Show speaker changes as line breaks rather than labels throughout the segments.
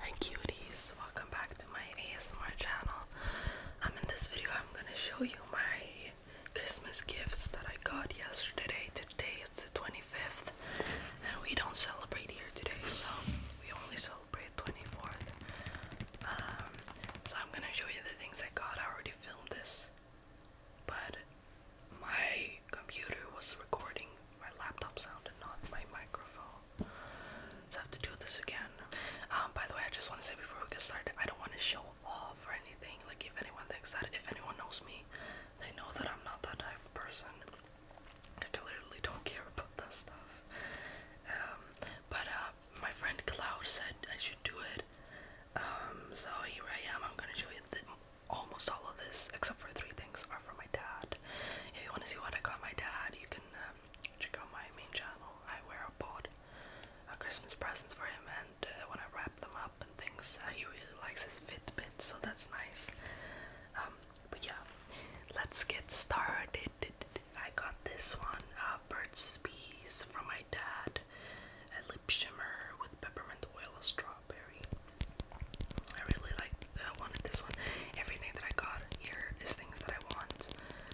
Hi cuties, welcome back to my ASMR channel. Um, in this video I'm gonna show you my Christmas gifts that I got yesterday. Today is the 25th and we don't celebrate here today, so we only celebrate 24th. Um, so I'm gonna show you the things I got. I already filmed this, but my computer was recording my laptop sound and not my microphone. So I have to do this again. Um, by the way, I just want to say before we get started, I don't want to show off or anything. Like, if anyone thinks that, if anyone knows me, they know that I'm not that type of person. I literally don't care about that stuff. Um, but uh, my friend Cloud said I should do it. Um, so here I am. I'm gonna show you the almost all of this, except for three things, are for my dad. If you want to see what I got my dad, you can um, check out my main channel. I wear a pod, uh, Christmas presents for him, and uh, when I wrap them up and things, uh, he really likes his Fitbit, so that's nice. Um, but yeah, let's get started. I got this one, a uh, Burt's Bees, from my dad. lip shimmer with peppermint oil and strawberry. I really like I wanted this one. Everything that I got here is things that I want.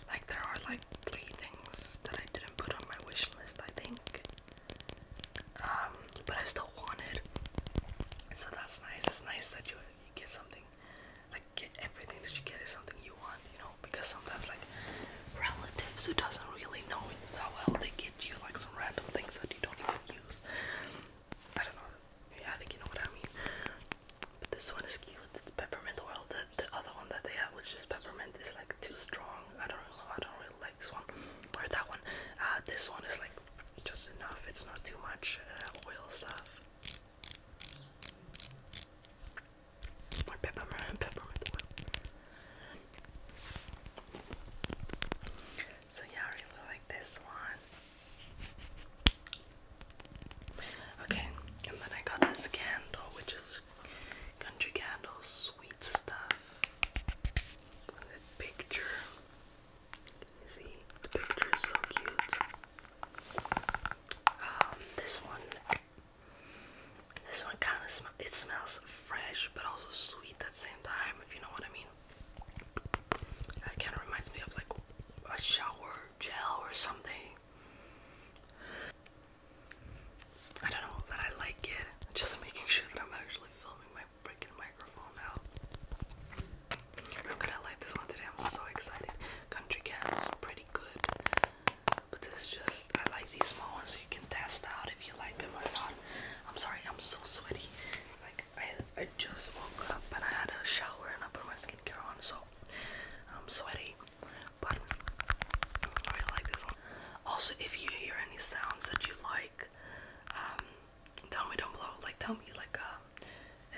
Like there are like three things that I didn't put on my wish list, I think. Um, but I still want it. So that's nice. It's nice that you, you get something like get everything that you get is something you want, you know, because sometimes like relatives who doesn't really know how well they get you like some random things that you don't even use. I don't know. Yeah, I think you know what I mean. But this one is cute. peppermint oil. The other one that they have, which is peppermint, is like too strong. I don't know. I don't really like this one or that one. Uh, this one is like just enough. It's not too much uh, oil stuff. More peppermint, peppermint oil. So yeah, I really like this one. Okay, and then I got this candle, which is country candle, sweet stuff. The picture. see, the picture is so cute. Um, this one, this one kind of sm it smells fresh, but also sweet at the same time. If you know what I mean. That kind of reminds me of like a shower gel or something. I don't know that I like it. Just making sure that I'm actually filming my freaking microphone out. How could I like this one today? I'm so excited. Country cans are pretty good. But this is just I like these small ones so you can test out if you like them or not. I'm sorry, I'm so sweaty. I I just woke up and I had a shower and I put my skincare on, so I'm sweaty. But I really like this one. Also, if you hear any sounds that you like, um, tell me down below. Like tell me like uh,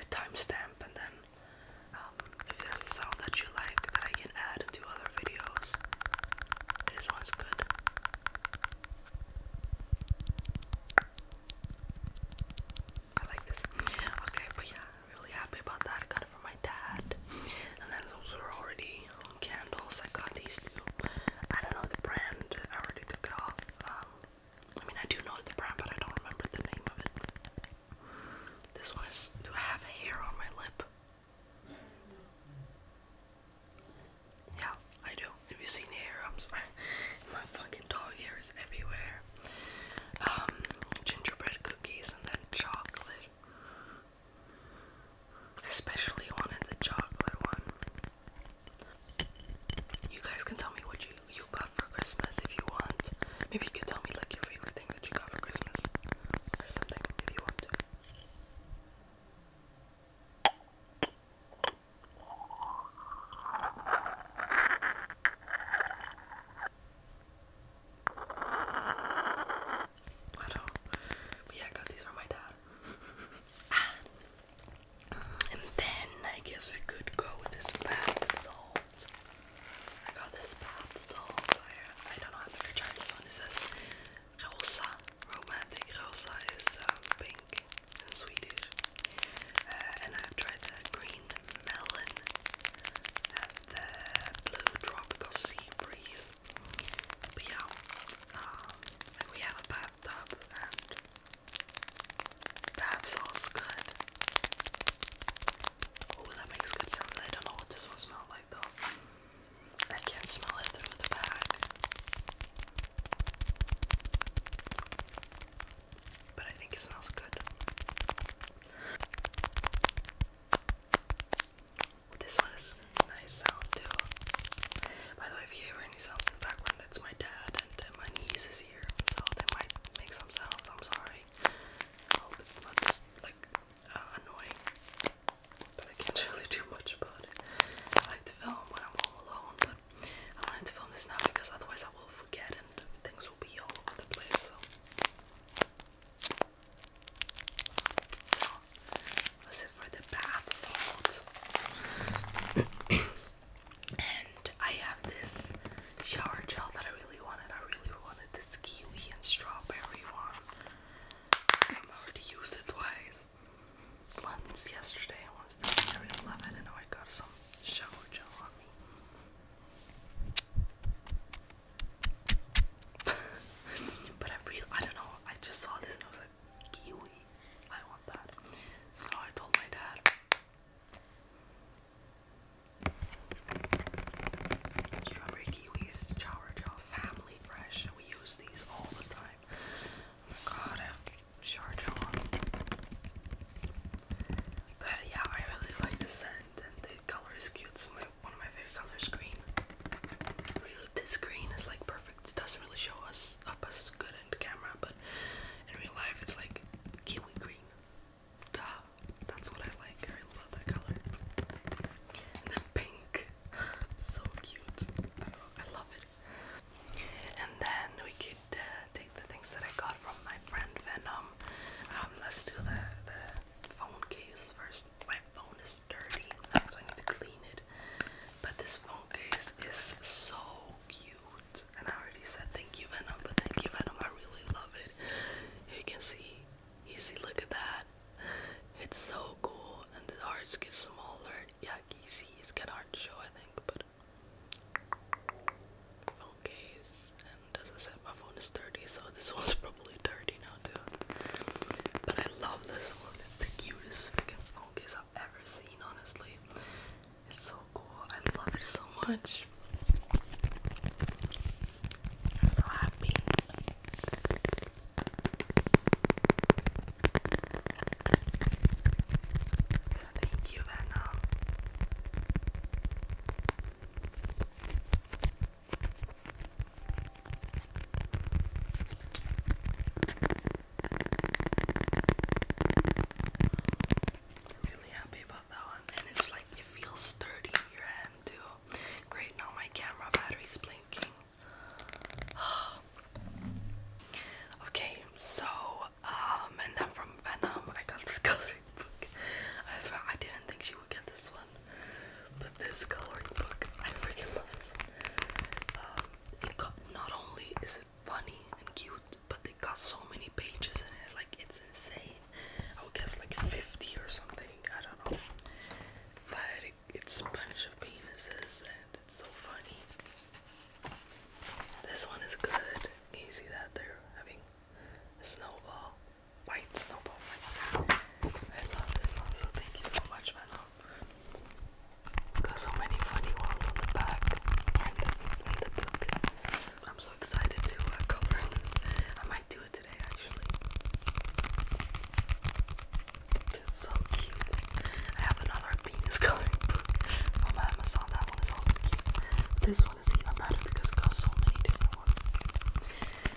a, timestamp and then. Um, if there's a sound that you like that I can add to other videos, this one's good. I like this. Okay, but yeah, am really happy about that. I got it from my dad. And then those are already um, candles. I got these little, I don't know the brand. I already took it off. Um, I mean, I do know the brand, but I don't remember the name of it. This one is. Do have hair on my lip? Yeah, I do. Have you seen hair? I'm sorry. My fucking dog hair is everywhere. Um, gingerbread cookies and then chocolate. Especially wanted the chocolate one. You guys can tell me what you you got for Christmas if you want. Maybe you could tell me like your favorite thing that you got for Christmas or something if you want to. I don't. yeah, I got these from my dad. Ah. and then I guess we could go with this bath salt. I got this bath salt. I, don't know. I've never tried this one. It says Rosa. Romantic Rosa is um, pink in Swedish. Uh, and I've tried the green melon and the blue tropical sea breeze. But yeah, um, we have a bathtub and bath salt's good. Oh, that makes good sound. I don't know what this will smell like though. I can't smell it through the bag. But I think it smells good. This one is nice sound too. By the way, if you hear any sounds in the background, it's my dad and my niece is here, so they might make some sounds. I'm sorry. I hope it's not just like uh, annoying, but I can't really do much about it. I'm all wanted to film this now because otherwise I will forget and things will be all over the place. So, this is for the bath salt. and I have this shower gel that I really wanted. I really wanted this kiwi and strawberry one. I've already used it twice once yesterday and once today. I really love it. I know I got some shower gel on me. but I really, I don't know, I just saw this and I was like, kiwi, I want that. So I told my dad. Strawberry kiwis shower gel, family fresh. We use these all the time. God, I have charger on. But yeah, I really like the scent and the color is cute. It's my, one of my favorite colors, green. Really, this green is like perfect. It doesn't really show us up as good in the camera, but in real life, it's like kiwi green. Duh, that's what I like. I really love that color. And then pink, so cute. I, don't know, I love it. And then we could uh, take the things that I got from my friend Venom. Um, let's do the, the phone case first. My phone is dirty, so I need to clean it. But this phone case is so cute. And I already said thank you, Venom, but thank you, Venom. I really love it. you can see, you see, look at that. It's so cool and the hearts get smaller. Yeah, see, it's kind of hard to show, I think, but phone case. And as I said, my phone is dirty, so this one's probably dirty now too. But I love this one. It's the cutest freaking phone case I've ever seen. Honestly, it's so cool. I love it so much. so happy. Thank you, right really happy about that one, and it's like it feels sturdy in your hand too. Great, now my camera battery's blinking. okay, so um, and then from Venom, I got this coloring book. I swear, I didn't think she would get this one, but this coloring book, I freaking love this. Um, it got not only is it funny and cute, but it got so many pages in it, like it's insane. I would guess like 50 or something. I don't know, but it's a bunch of penises and it's so funny. This one is good. You see that they're having a snowball, white snowball. White. I love this one, so thank you so much, Venom. Got so many funny ones on the back I'm so excited to uh, cover this. I might do it today, actually. It's so cute. I have another penis coloring book on oh, Amazon. That one is also cute. this one is even better because it got so many different ones.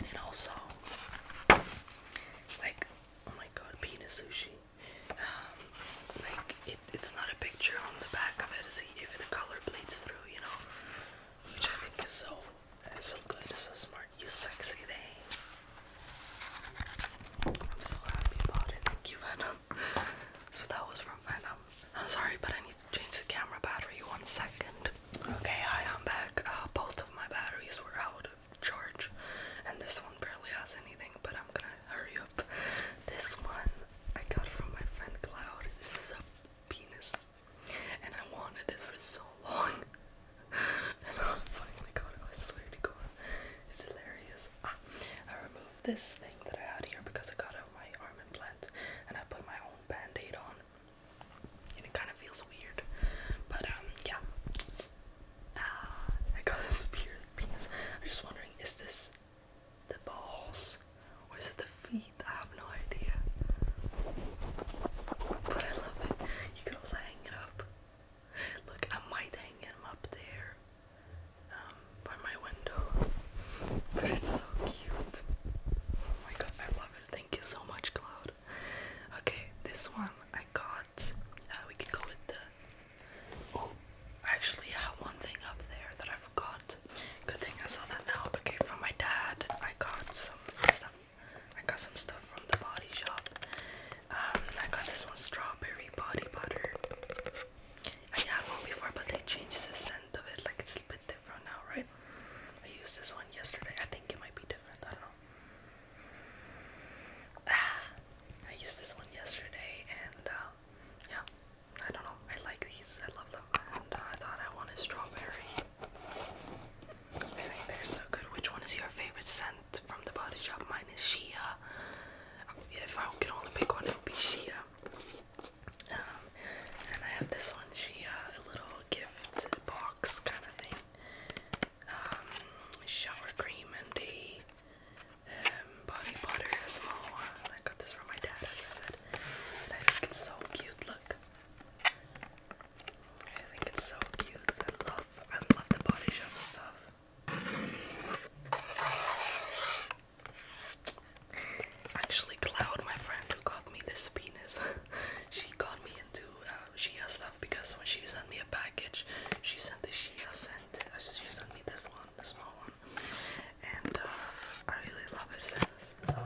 And also, like, oh my god, penis sushi. Um, like, it, it's not a picture on the back of it to see if the color bleeds through, you know? Which I think is so, so good. It's so smart you sexy thing. I'm so happy about it. Thank you, Venom. So that was from Venom. I'm sorry, but I need to change the camera battery one second. Okay, hi, I'm back. Uh, both of my batteries were out of charge, and this one barely has anything, but I'm gonna hurry up. This one I got from my friend Cloud. This is a penis, and I wanted this for so long. I'm not I swear to God. It's hilarious. Ah, I removed this thing that I had here because I got out my arm implant and I put my own band on. it kind of feels weird. But um yeah. Ah, I got a spear penis. I'm just wondering, is this the balls? Or is it the feet? I have no idea. But I love it. You could also hang it up. Look, I might hang him up there um, by my window. But it's so cute. Oh my god, I love it. Thank you so much, Cloud. Okay, this one I got. Uh, we can go with the. Oh, I actually have one thing up there that I forgot. Good thing I saw that now. Okay, from my dad, I got some stuff I got some stuff from the body shop. Um, I got this one strawberry body butter. I had one before, but they changed the scent of it. Like it's a bit different now, right? I used this one yesterday. I think it might be different. I don't know. Ah, I used this one yesterday, and uh, yeah, I don't know. I like these. I love them, and uh, I thought I wanted strawberry. I think they're so good. Which one is your favorite scent? from the body shop. minus is Shea. Um, if I could only pick one, it would be Shea. Um, and I have this one, Shea, a little gift box kind of thing. Um, shower cream and a body butter, a small one. I got this from my dad, as I said. I think it's so cute. Look. I think it's so cute. I love I love the body shop stuff. Actually, Cloud, my friend who got me this penis, she got me into uh, Shia stuff because when she sent me a package, she sent the Shia scent. Uh, she sent me this one, the small one, and uh, I really love it since. So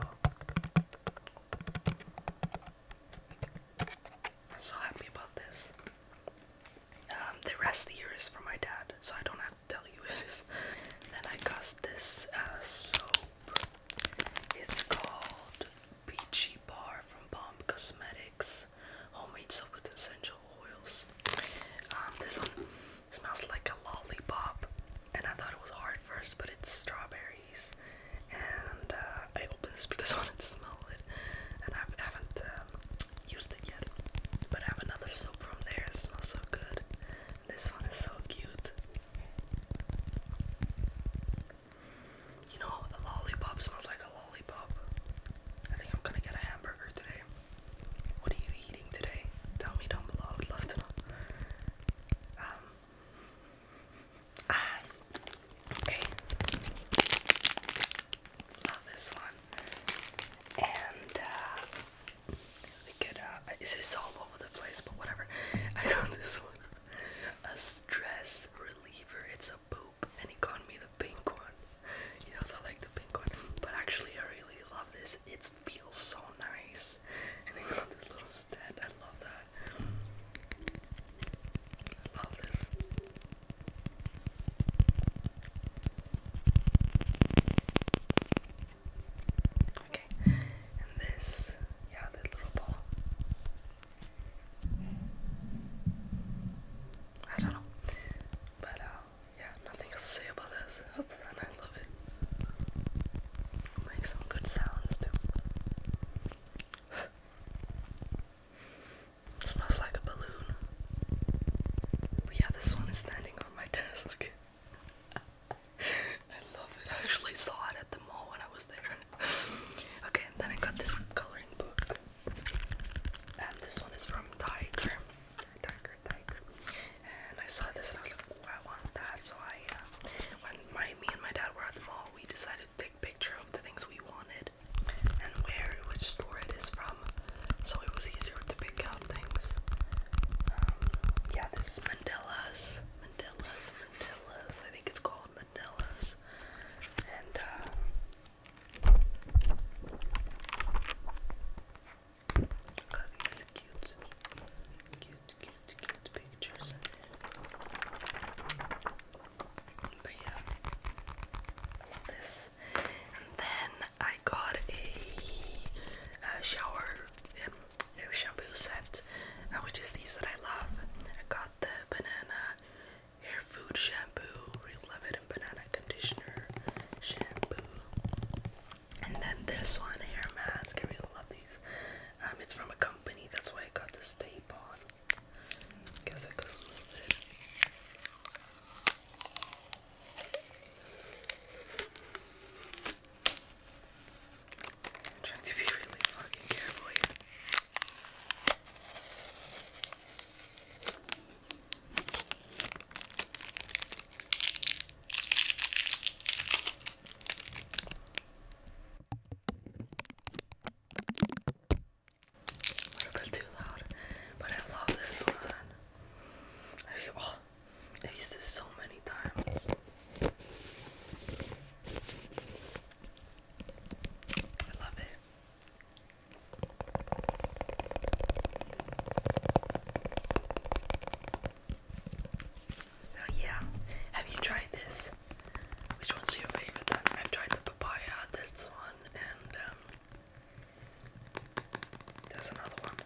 so happy about this. Um, the rest of the year is for my dad, so I don't have to tell you it is. Then I got this uh, soap. It's called Peachy Bar from Bomb Cosmetics. Homemade soap with essential oils. Um, this one smells like a lollipop, and I thought it was hard first, but it's strawberry and uh, I opened this because I wanted to smell it, and I haven't um, used it yet. But I have another soap from there. It smells so good. This one is so cute. You know, a lollipop smells like a lollipop. I think I'm gonna get a hamburger today. What are you eating today? Tell me down below. I would love to know. Um, Ah, okay. Love this one. And uh, we could, uh, all over the place? But whatever. I got this one. A stress reliever. It's a boop, and he got me the pink one. You know, I like the pink one, but actually I really love this. It feels so nice. And it got this little stand. I love that. I love this. Okay, and this, yeah, the little ball. I don't know, but uh, yeah, nothing to say about this other I love it. Make some good sounds too. Smells like a balloon. But yeah, this one is standing on my desk. I love it. I actually saw it at the mall when I was there. okay, then I got this coloring book. And this one is from Tiger. Tiger, Tiger. And I saw this and I was like, oh, I want that. So I, uh, when my, me and my dad were at the mall, we decided to picture of the things we wanted and where which store it is from, so it was easier to pick out things. Um, yeah, this is Mandela's, Mandela's, Mandela's. I think it's called Mandela's, and. Uh, cute, cute, cute pictures But yeah, I this. And then I got a, shower um, a shampoo set, uh, which is these that I love. I got the banana hair food shampoo, We love it, and banana conditioner shampoo. And then this one, hair mask. I love these. Um, it's from a company, that's why I got this tape on. Guess I could remove trying to be really fucking careful a little too loud, but I love this one. Oh, I, used this so many times. I love it. So yeah, have you tried this? Which one's your favorite? Then? I've tried the papaya, this one, and um, there's another one,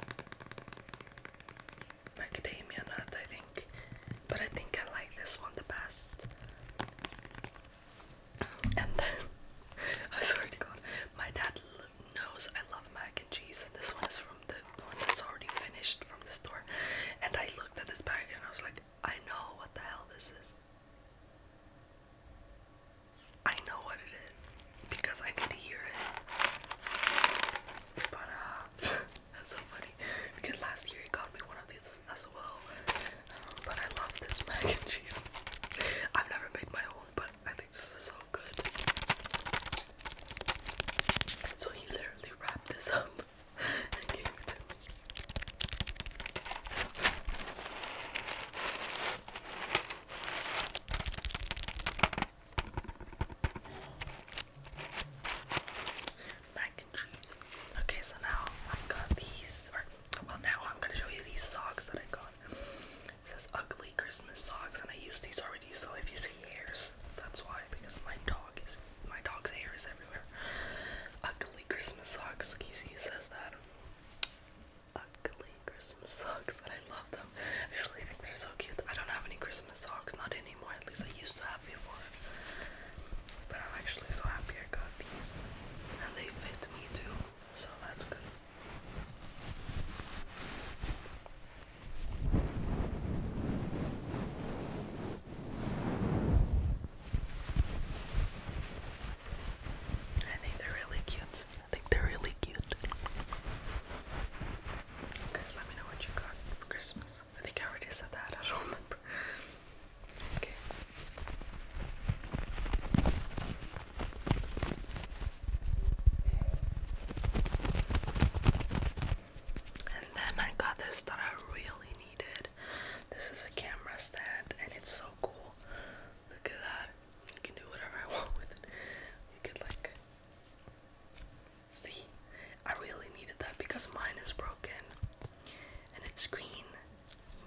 macadamia nut, I think. But I think I like this one the best. And then, oh, sorry swear to God, my dad knows I love mac and cheese, and this one is from the one that's already finished from the store. And I looked at this bag and I was like, I know what the hell this is. I know what it is because I could hear it. But uh, that's so funny because last year he got me one of these as well. but I love this bag and cheese. I've never made my own, but I think this is so good. So he literally wrapped this up and Okay, so now I've got these, or well, now I'm gonna show you these socks that I got. These ugly Christmas socks, and I used these already, so if you see hairs, that's why, because my dog my dog's hair is everywhere. Ugly Christmas socks. Casey says that. Ugly Christmas socks, and I love them. I really think they're so cute. I don't have any Christmas socks, not anymore. At least I used to have before. But I'm actually so happy I got these, and they fit me too. So that's good. I think they're really cute. I think they're really cute. Guys, let me know what you got for Christmas. I think I already said that. I don't remember. Okay. And then I got this that I really needed. This is a camera stand and it's so cool. Look at that. You can do whatever I want with it. You could like see. I really needed that because mine is broken. And it's green.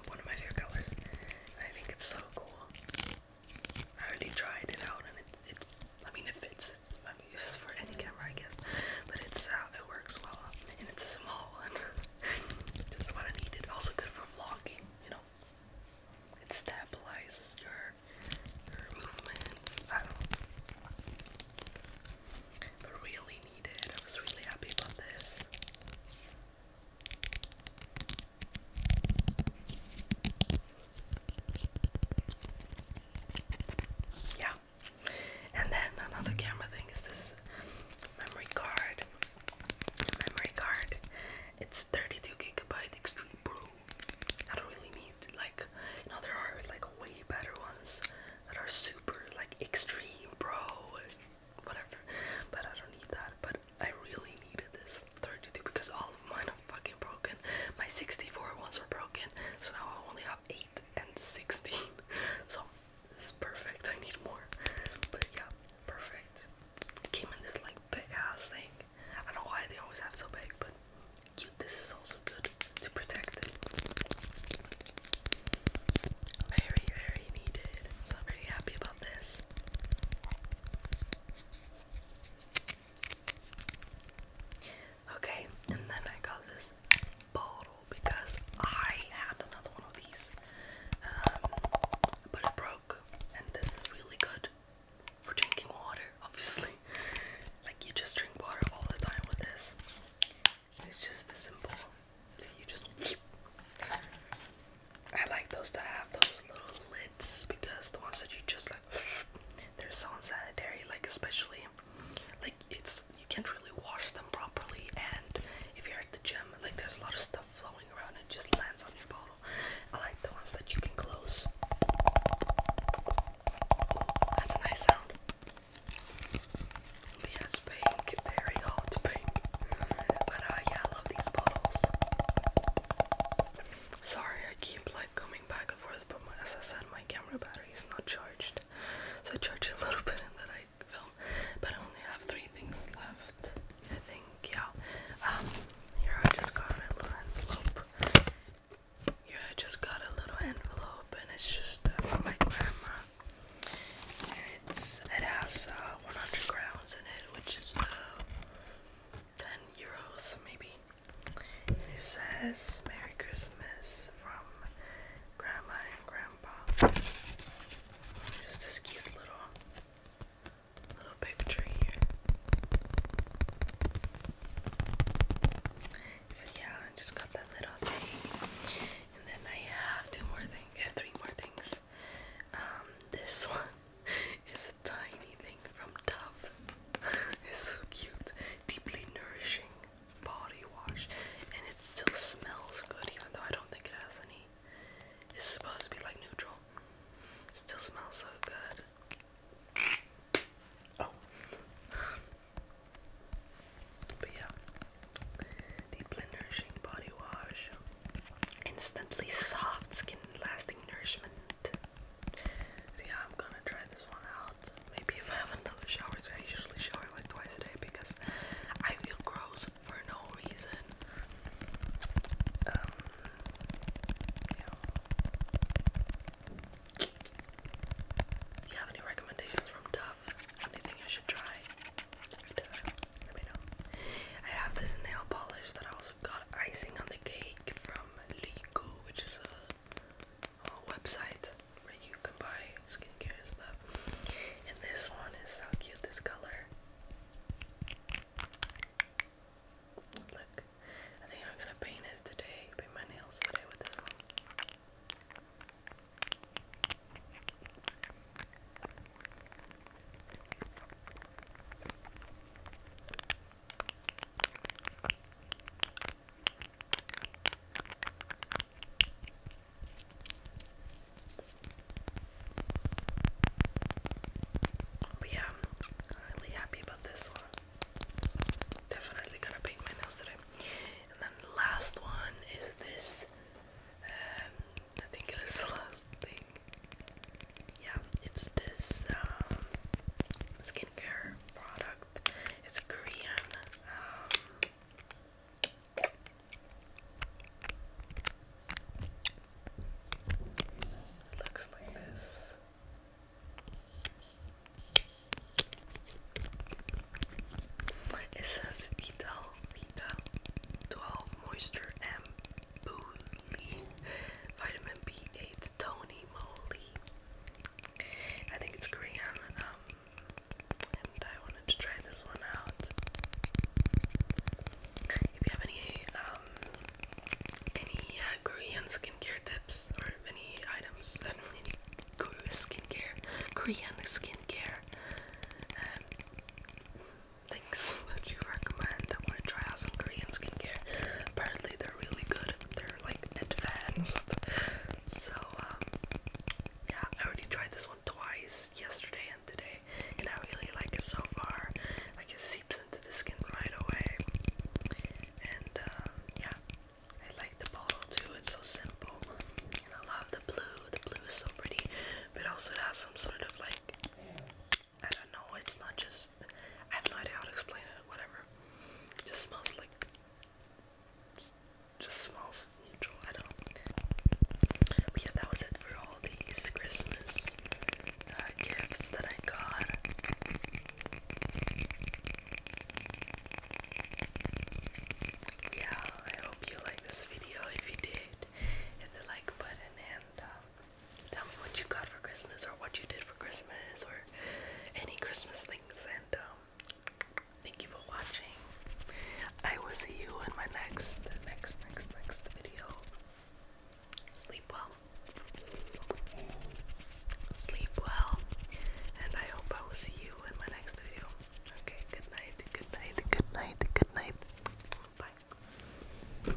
One of my favorite colors. I think it's so cool. I already tried it out and it, it I mean, it fits. It's, I mean, it's for any camera, I guess. But it's uh, it works well, and it's a small one. Just what I needed. Also good for vlogging. You know, it stabilizes your your movements. I don't But really needed. I was really happy about this. Yeah, and then another camera thing is this memory card. Memory card. It's 32 gigabyte Extreme Pro. I don't really need like you there are like way better ones that are super like Extreme Pro whatever, but I don't need that. But I really needed this 32 because all of mine are fucking broken. My 64 ones were broken, so now I only have 8 and 16. So this is perfect. I need more. But yeah, perfect. Came in this like big ass thing. I don't know why they always have so big, but cute. This is also good to protect it. Very, very needed. So I'm pretty happy about this. Okay, and then I got this bottle because I had another one of these, um, but it broke, and this is really good for drinking water, obviously. Like, you just drink water all the time with this. It's just simple. See, you just. I like those that have those little lids because the ones that you just like, they're so unsanitary, like, especially like it's you can't really wash them properly and if you're at the gym like there's a lot of stuff flowing around and just lands on your bottle. I like the ones that you can close. that's a nice sound. Yes, pink, very hot pink. But uh, yeah, I love these bottles. Sorry, I keep like coming back and forth, but my, as I said, my camera battery is not charged, so I charge a little bit and then I film. But I only have three things left, I think. Yeah. Um. Here I just got a little envelope. Here I just got a little envelope, and it's just uh, for my grandma. And it's it has uh, 100 crowns in it, which is uh, 10 euros maybe. He says Merry Christmas from Grandma and Grandpa. Just this cute little little picture here. So yeah, I just got that little thing. And then I have two more things, yeah, three more things. Um, this one is a tiny anything from Dove. it's so cute. Deeply nourishing body wash. And it still smells good even though I don't think it has any. It's supposed to be like neutral. It still smells so good. Oh. But yeah. Deeply nourishing body wash. Instantly soft skin lasting nourishment. So I'm gonna try this one out. Maybe if I have another shower, I usually shower like twice a day because I feel gross for no reason. Um, Do you have any recommendations from Dove? Anything I should try? Let me know. I have this nail polish that I also got icing on the cake from Lico, which is a uh, website where you can buy skincare and stuff. And this one is so cute, this color. Look, I think I'm gonna paint it today, paint my nails today with this one. But yeah, I'm really happy about this one. Definitely gonna paint my nails today. And then the last one is this. Um, I think it is the last thing. Yeah, it's this. Um, skincare product. It's Korean. Um, it looks like this. It says Vita Vita 12 Moisture and Vitamin B8 Tony Moly I think it's Korean, um, and I wanted to try this one out. If you have any, um, any uh, Korean skincare tips or any items, I really need skincare, Korean skincare um, things that you recommend, I want to try out some Korean skincare. Apparently, they're really good they're like advanced. So um, yeah, I already tried this one twice yesterday and today and I really like it so far. Like it seeps into the skin right away. And uh, yeah. I like the bottle too, it's so simple. I love the blue. The blue is so pretty. But also it has some sort of like I don't know, it's not just I have no idea how to explain it, whatever. just smells like just, smells neutral, I don't But yeah, that was it for all these Christmas uh, gifts that I got. Yeah, I hope you liked this video. If you did, hit the like button and um, Tell me what you got for Christmas or what you did for Christmas or any Christmas things and um, thank you for watching. I will see you in my next next next next video. Sleep well. Sleep well. And I hope I will see you in my next video. Okay, good night, good night, good night, good night. Bye.